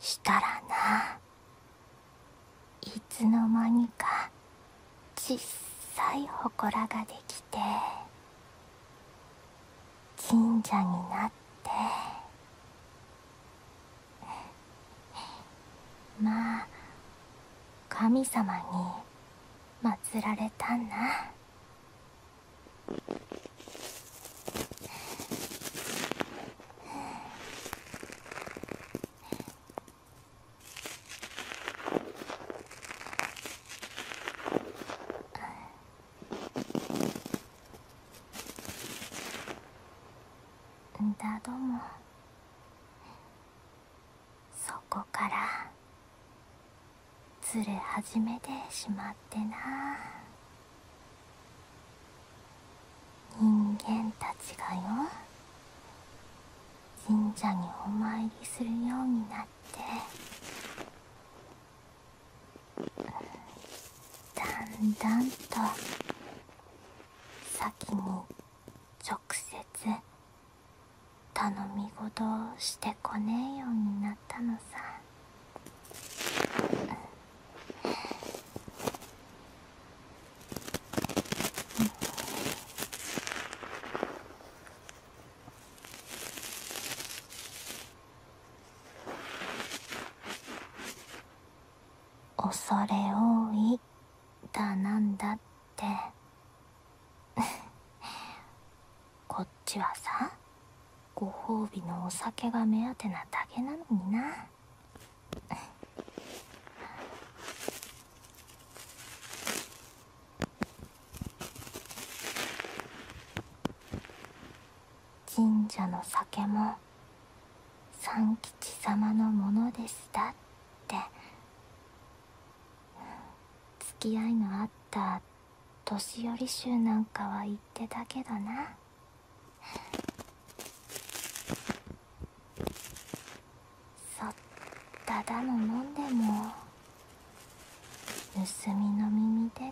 したらないつのまにかちっさいほこらができて神社になって まあ神様に祀られたんだ。うだどもそこからずれ始めてしまってな。人間たちがよ神社にお参りするようになってだんだんと先に直接頼み事をしてこねえようになったのさ。恐れ多いだなんだって こっちはさご褒美のお酒が目当てなだけなのにな神社の酒も三吉様のものですだって付き合いのあった年寄り衆なんかは言ってたけどなそっただの飲んでも盗みの耳手で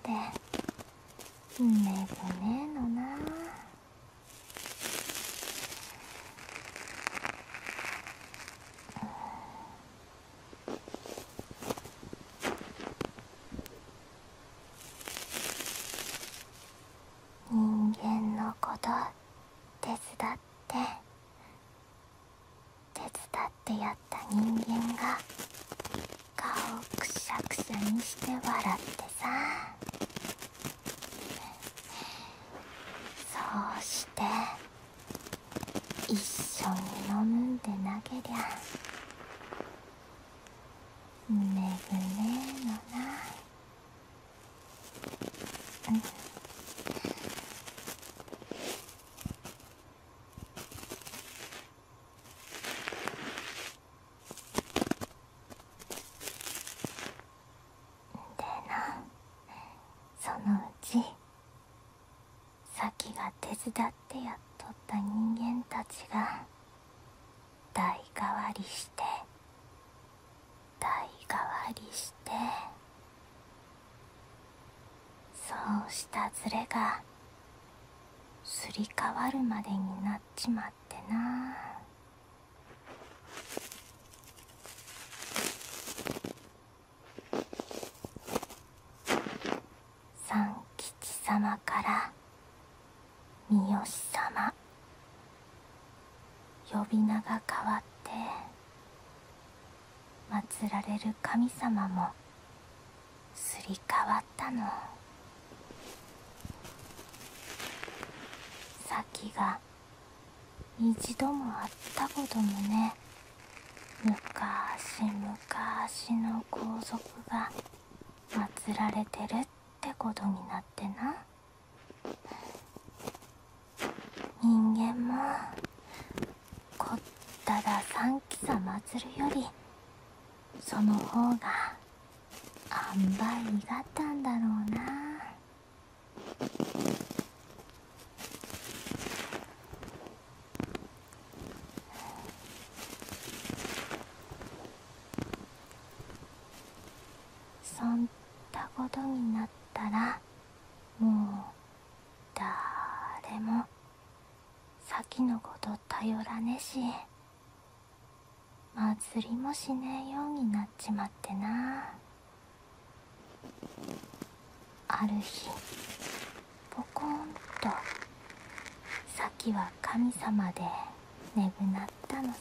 めぐねえのな人間のこと手伝って手伝ってやった人間が顔をくしゃくしゃにして笑ってさそうして一緒に飲んで投げりゃぐねえのなでなそのうちさが手伝ってやっとった人間たちが代替わりして代替わりしてそうしたズレがすり替わるまでになっちまってな三吉様から三好様呼び名が変わって祀られる神様もすり替わったの先が一度もあったこともね昔昔の皇族が祀られてるっことになってな人間もこっただ三鬼さ祭るよりその方があんばいにがったんだろうなそんなことになったらもうだれも先のこと頼らねえし祭りもしねえようになっちまってなある日ポコンと先は神様で。眠ったのさ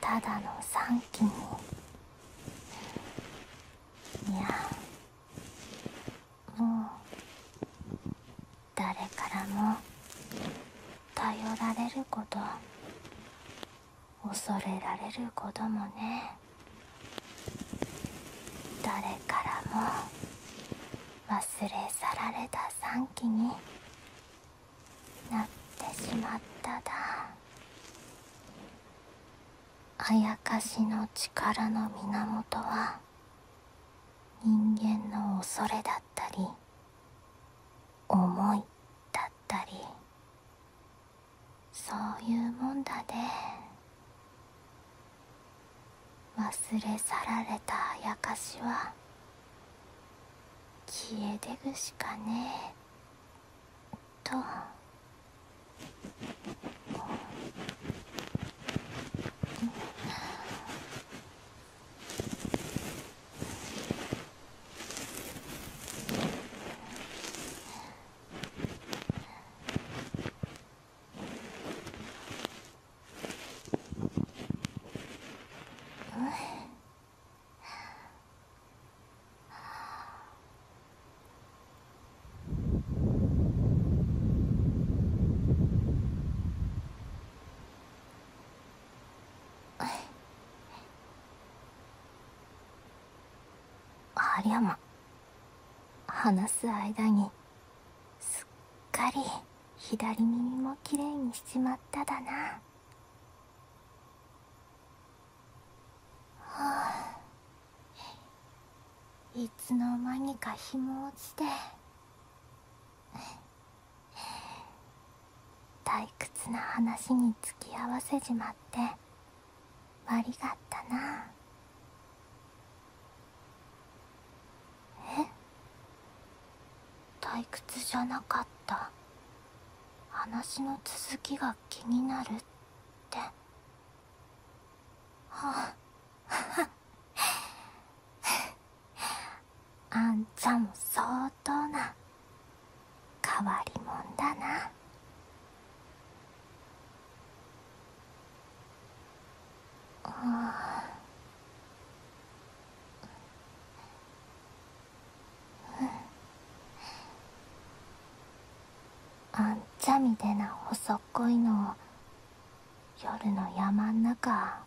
ただの3期にいやもう誰からも頼られること恐れられることもね誰からも忘れ去られた3期になってしまっただあやかしの力の源は人間の恐れだったり思いだったりそういうもんだね忘れ去られたあやかしは消えでぐしかねえと。ハリアマ話す間にすっかり左耳もきれいにしちまっただなはあいつの間にか日も落ちて 退屈な話につきあわせちまって悪がったなえ退屈じゃなかった話の続きが気になるってはあ あんちゃんも相当な変わりもんだな。ああ。んちゃみでな細っこいのを夜の山ん中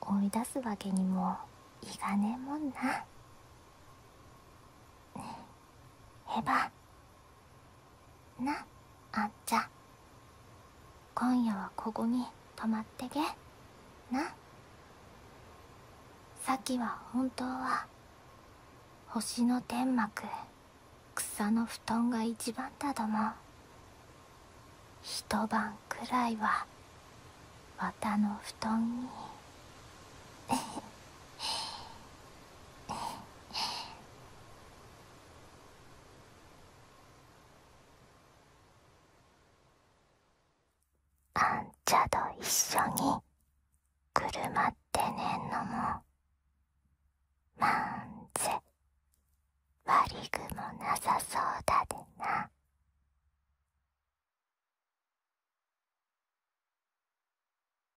追い出すわけにもいかねえもんな。へばなあっちゃん今夜はここに泊まってけなさきは本当は星の天幕草の布団が一番だども一晩くらいは綿の布団にあんちゃと一緒にくるまってねんのもまんぜわりぐもなさそうだでな。